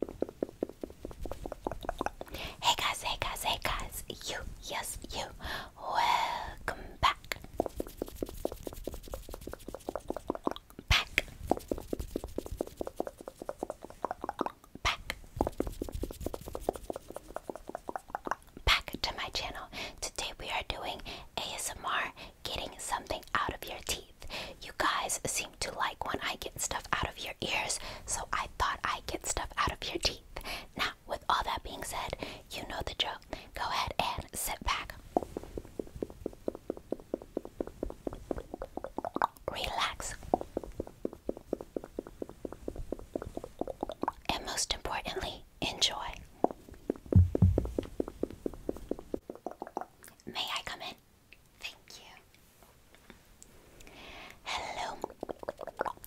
Hey guys, hey guys, hey guys, you, yes, you, welcome back. Back. Back. Back to my channel. Today we are doing ASMR getting something out of your teeth. You guys seem to like when I get stuff out of your ears, so I thought I'd get stuff out of your teeth. Now, with all that being said, you know the joke. Go ahead and sit back. Relax. And most importantly, enjoy. May I come in? Thank you. Hello.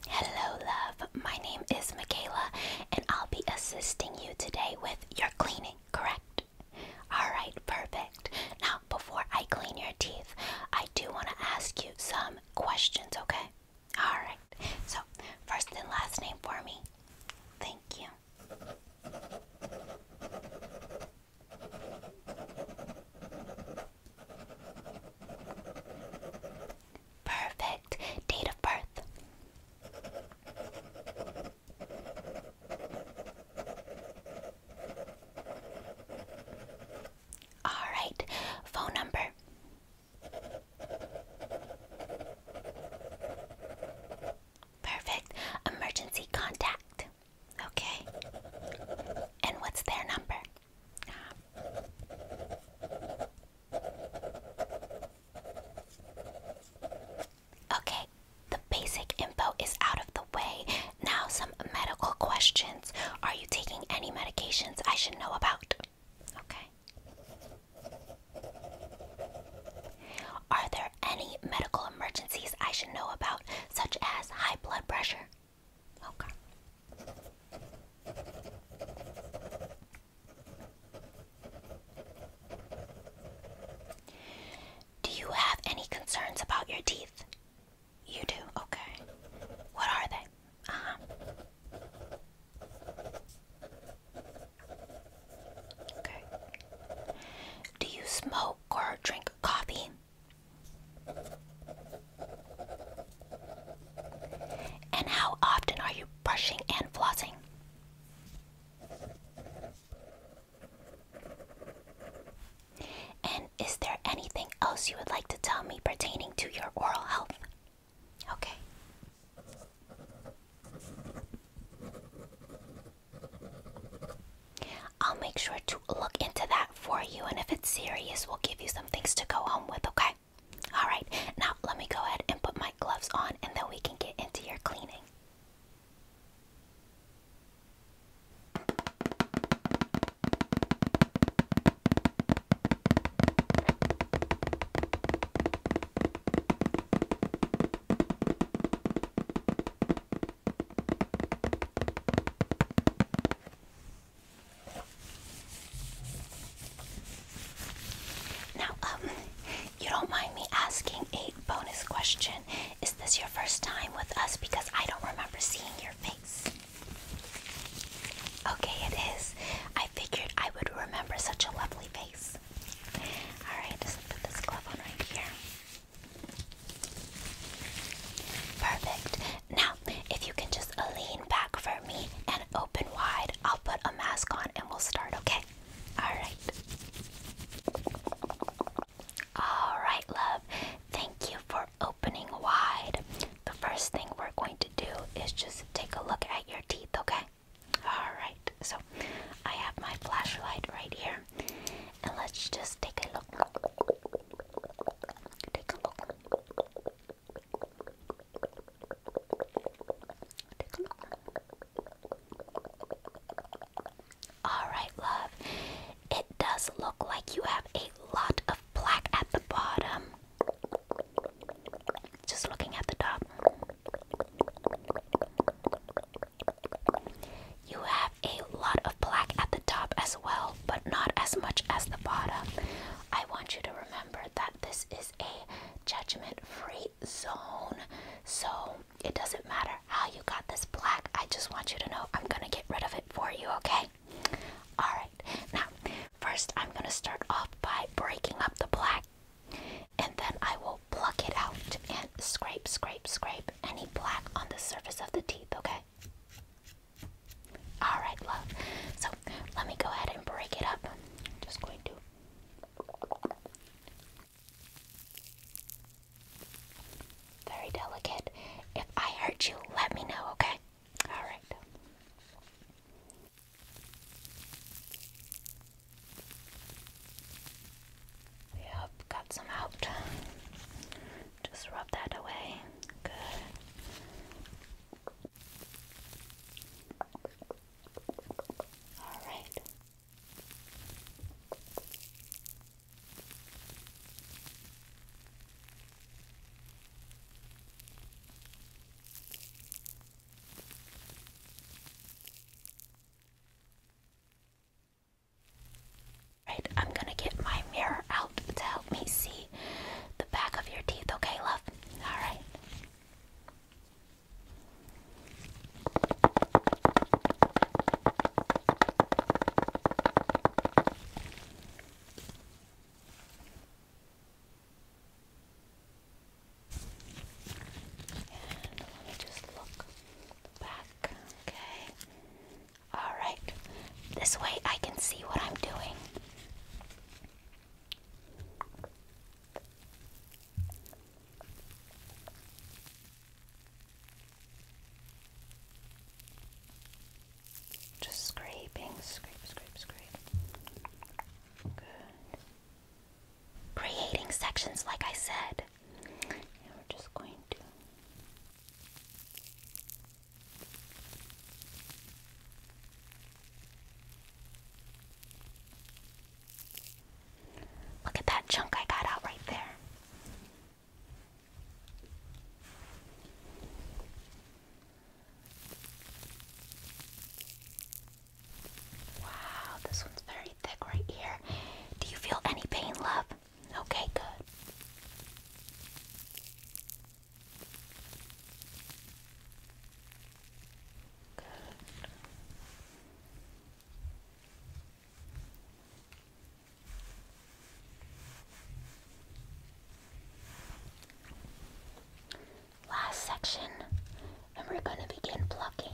Hello, love. My name is Michaela, and I'll be assisting you today with your cleaning, correct? Alright, perfect. Now, before I clean your teeth, I do want to ask you some questions, okay? Alright. So, first and last name for me. Thank you. Perfect. Date of birth. All right. Phone number. Perfect. Emergency contact. Okay. And what's their number? Okay, the basic info is out of the way. Now, some medical questions. Are you taking any medications I should know about? Okay. Are there any medical emergencies I should know about, such as high blood pressure? Okay. Do you have any concerns about your teeth? You do? Okay. What are they? Uh -huh. Okay. Do you smoke or drink coffee? And how often are you brushing and flossing? And is there anything else you would like to tell me pertaining to your oral health? Okay. I'll make sure to look into that for you, and if it's serious, we'll give you some things to go home with, okay? Alright, now let me go ahead and put my gloves on, and then we can get into your cleaning. Now, um, you don't mind me asking a bonus question. Is this your first time with us? Because I don't remember seeing your face. Okay, it is. I figured I would remember such a lovely face. Alright, just put this glove on right here. Perfect. Now, if you can just lean back for me and open wide, I'll put a mask on and we'll start, okay? Alright. Alright, love. Thank you for opening wide. The first thing we're going to do is just take a look at your teeth, okay? Alright, so I have my flashlight right here and let's just take a look. Take a look. Alright, love. It does look like you have a lot of black at the bottom. Just looking at the top. You have a lot of black at the top as well, but not as much as the bottom. I want you to remember that this is a judgment free zone, so it doesn't matter how you got this black. I just want you to know I'm gonna get rid of it for you, okay? Alright, now first I'm gonna start off by breaking up the black and then I will pluck it out and scrape, scrape, scrape any black on the surface of the teeth, okay? Alright, love. So let me go ahead and break it up. I'm just going to. Very delicate. If I hurt you, let me know, okay? Alright. Yep, got some out. Just rub that away. Good. All right. Right, I'm gonna get my mirror out to help me see the back of your teeth, okay, love? Alright. let me just look back, okay? Alright, this way I can see what I'm doing. Just scraping, scrape, scrape, scrape. Good. Creating sections, like I said. we're just going to Look at that chunk I got out right there. Wow, this one's very thick right here. Do you feel any pain, love? Okay, good. Last section, and we're going to begin plucking.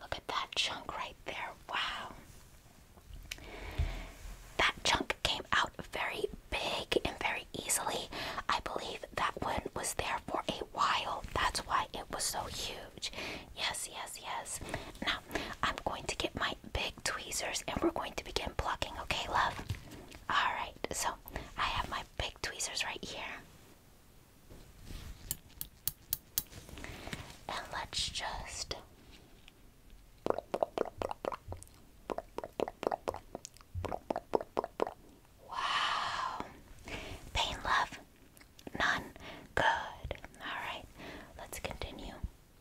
Look at that chunk right there. Wow. That chunk came out very big and very easily. I believe that one was there for a while. That's why it was so huge. Yes, yes, yes. Now, I'm going to get my big tweezers and we're going to begin plucking, okay, love? Alright, so I have my big tweezers right here. And let's just Wow. Pain love. None. Good. Alright. Let's continue.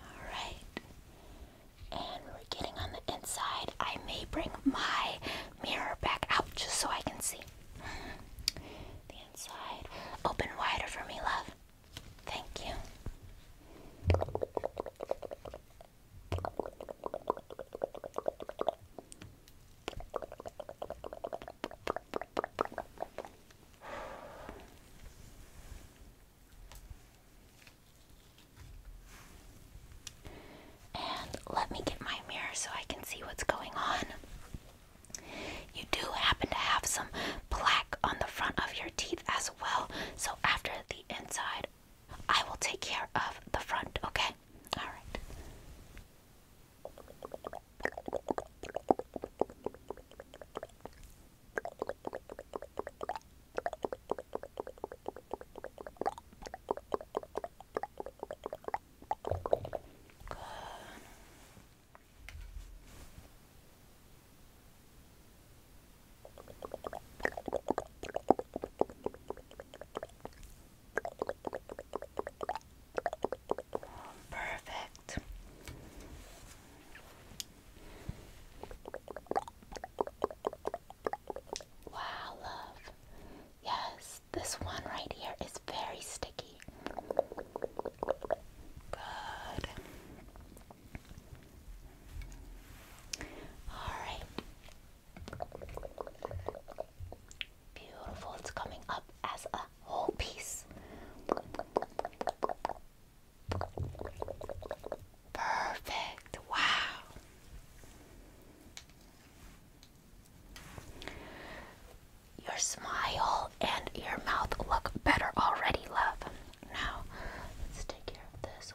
All right. And we're getting on the inside. I may bring my mirror back out just so I can see. The inside. Open wider for me, love. Thank you. And let me get my mirror so I can see what's going on. You do happen to have some plaque on the front of your teeth as well, so after the inside I will take care of the front, okay? All right. Perfect. Wow, love. Yes, this one right here is very sticky. Good. All right. Beautiful. It's coming up as a whole piece. Perfect. Wow. Your smile and your mouth look better already, love. Now, let's take care of this.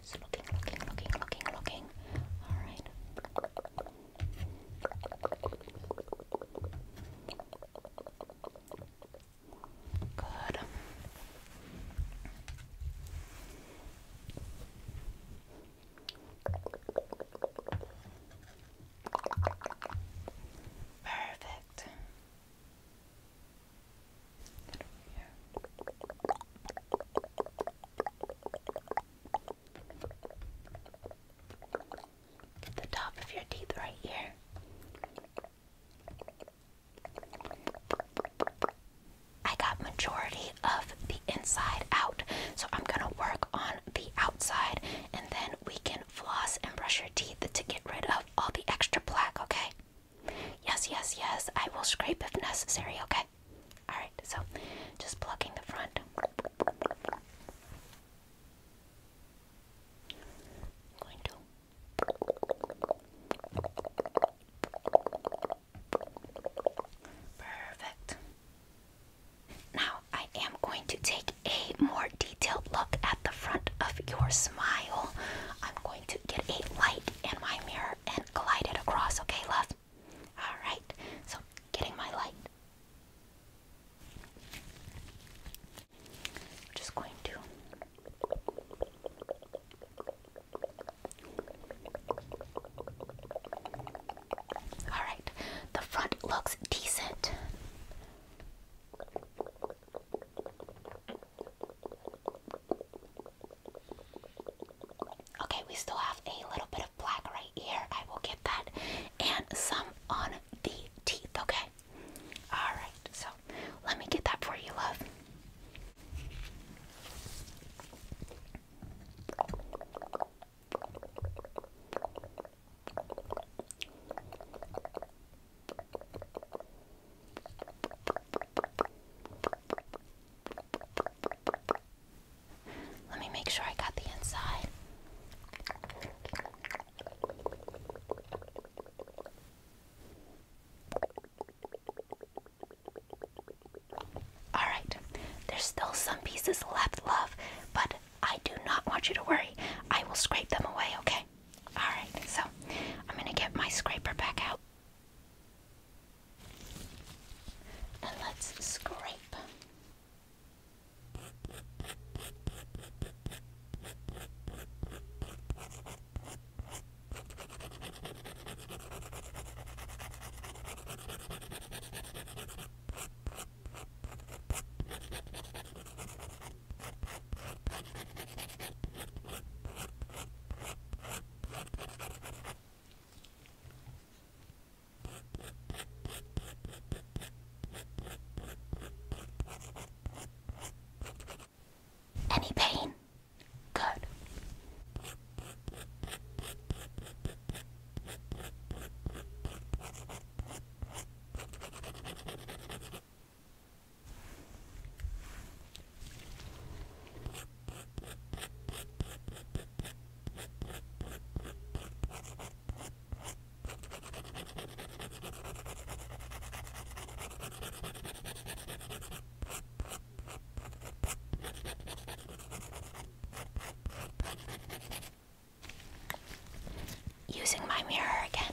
Just looking, looking, looking, looking, looking. All right. Good. Perfect the top of your teeth right here. I got majority of the inside out, so I'm gonna work on the outside and then we can floss and brush your teeth to get rid of all the extra plaque, okay? Yes, yes, yes. I will scrape if necessary, okay? Alright, so just plucking the front. Perfect. Now I am going to take a more detailed look the front of your smile, I'm going to get a light in my mirror and glide it across, okay, love? Alright, so getting my light. I'm just going to. Alright, the front looks decent. Okay, we still have a little bit of black right here. I will get that. And some on the teeth, okay? Alright, so let me get that for you, love. Let me make sure I got the inside. Alright, there's still some pieces left, love, but I do not want you to worry. I will scrape them away, okay? alright, so I'm gonna get my scraper back out. And let's scrape. Any pain? Good. Using my mirror again.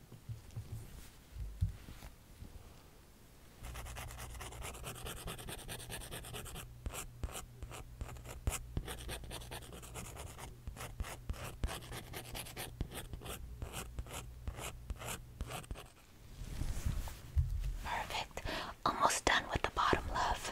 Perfect. Almost done with the bottom, love.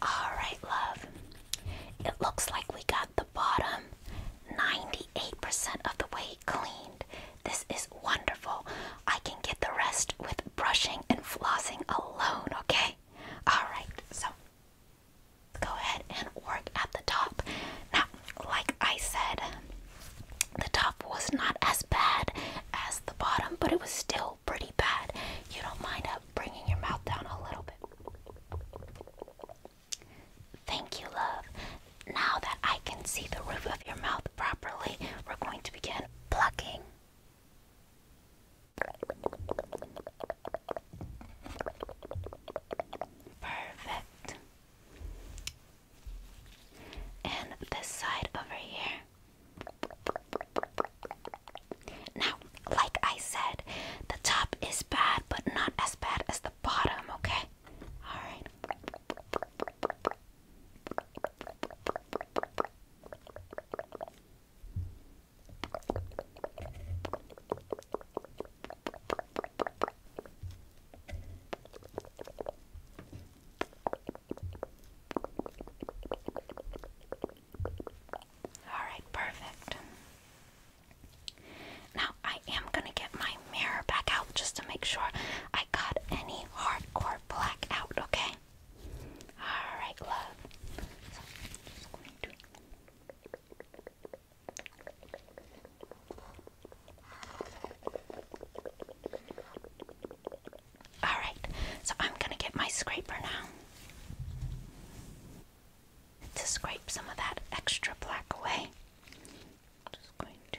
All right, love. It looks like we got the bottom 98% of the way cleaned. This is wonderful. I can get the rest with brushing and flossing alone, okay? All right, so go ahead and work at the top. Now, like I said, the top was not as bad as the bottom, but it was still pretty bad. You don't mind up uh, bringing your mouth down a little bit. Thank you, love. Now that I can see the roof of your mouth properly, we're going to begin plucking, Perfect. And this side over here. Now, like I said, the top is bad, but not as bad as the bottom, okay? Alright. All right, perfect. Now I am gonna get my mirror back out just to make sure I got any hardcore black out, okay? Alright, love. All right, so I'm going to get my scraper now to scrape some of that extra black away. just going to.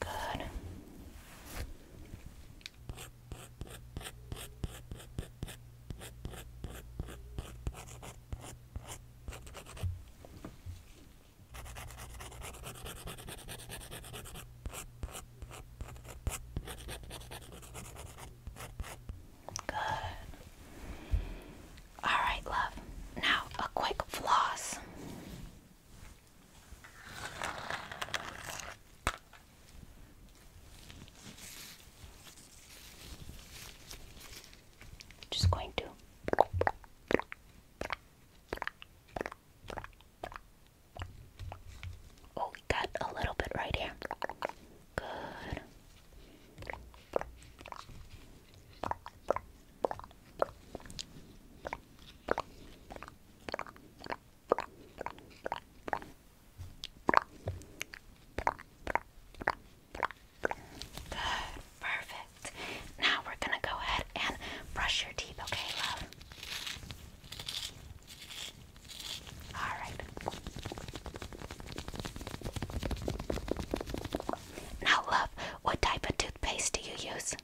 Good. Good. All right, love. Now, a quick floss. Just going to Oh, got a little bit right here. Good perfect. Now we're gonna go ahead and brush your teeth, okay, love? Alright. Now, love, what type of toothpaste do you use?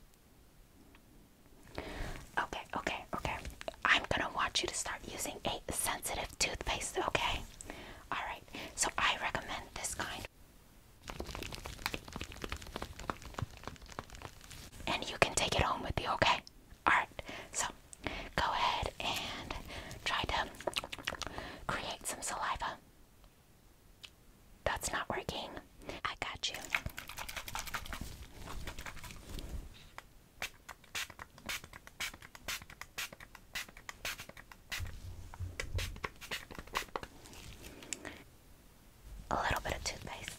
Okay, okay, okay. I'm gonna want you to start using a sensitive toothpaste, okay? Alright, so I recommend this kind. And you can take it home with you, okay? Alright, so go ahead and try to create some saliva. That's not working. I got you. A little bit of toothpaste.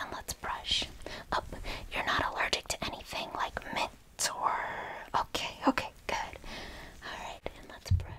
And let's brush. Oh, you're not allergic to anything like mint or. Okay, okay, good. Alright, and let's brush.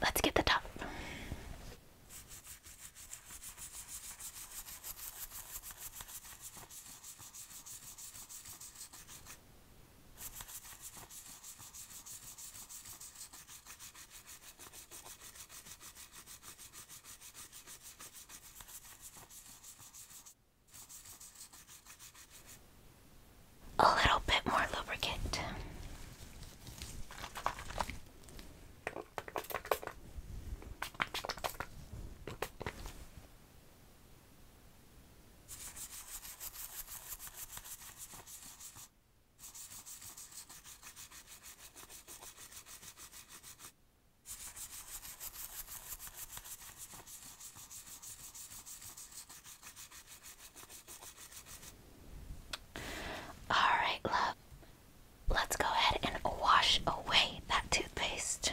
Let's get the top a little bit more lubricant. Alright, love. Let's go ahead and wash away that toothpaste.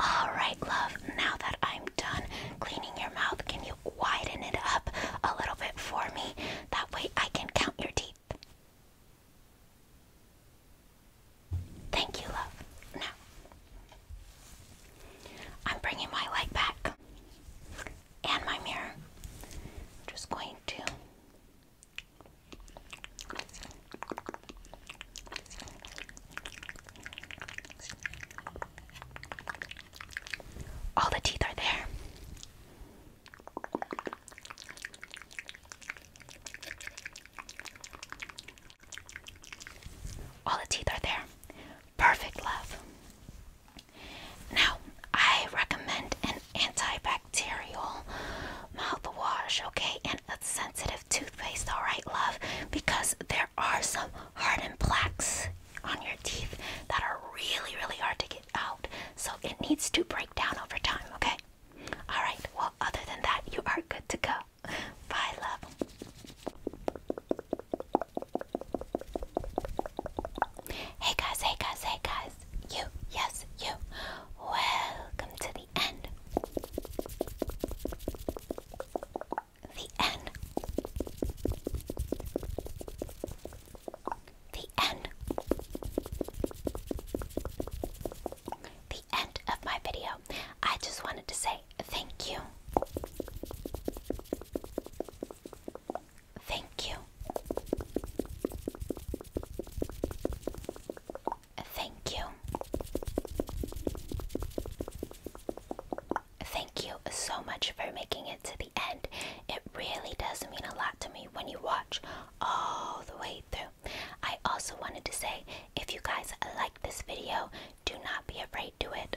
All right, love, now that I'm done cleaning your mouth, can you widen it up a little bit for me? That way I can count your teeth. Thank you, love. Now, I'm bringing my light back and my mirror. just going to all the teeth are there. All the teeth are there. Perfect love. Now, I recommend an antibacterial mouthwash, okay, and a sensitive toothpaste, alright, love, because there are some hardened plaques on your teeth that are really, really hard to get out. So it needs to break down over time, okay? Alright, well, other than that, you are good to go. Bye, love. Hey guys, hey guys, hey guys you, yes, you. Welcome to the end. The end. The end. The end of my video. I just wanted to say thank you. Thank you. Thank you. Thank you so much for making it to the end. It really does mean a lot to me when you watch all the way through. I also wanted to say if you guys like this video, do not be afraid to it.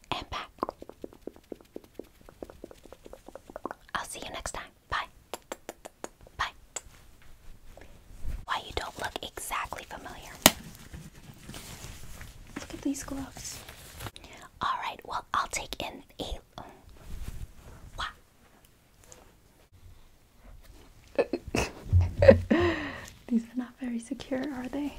and back. I'll see you next time. Bye. Bye. Why you don't look exactly familiar. Look at these gloves. Alright, well, I'll take in these are not very secure, are they?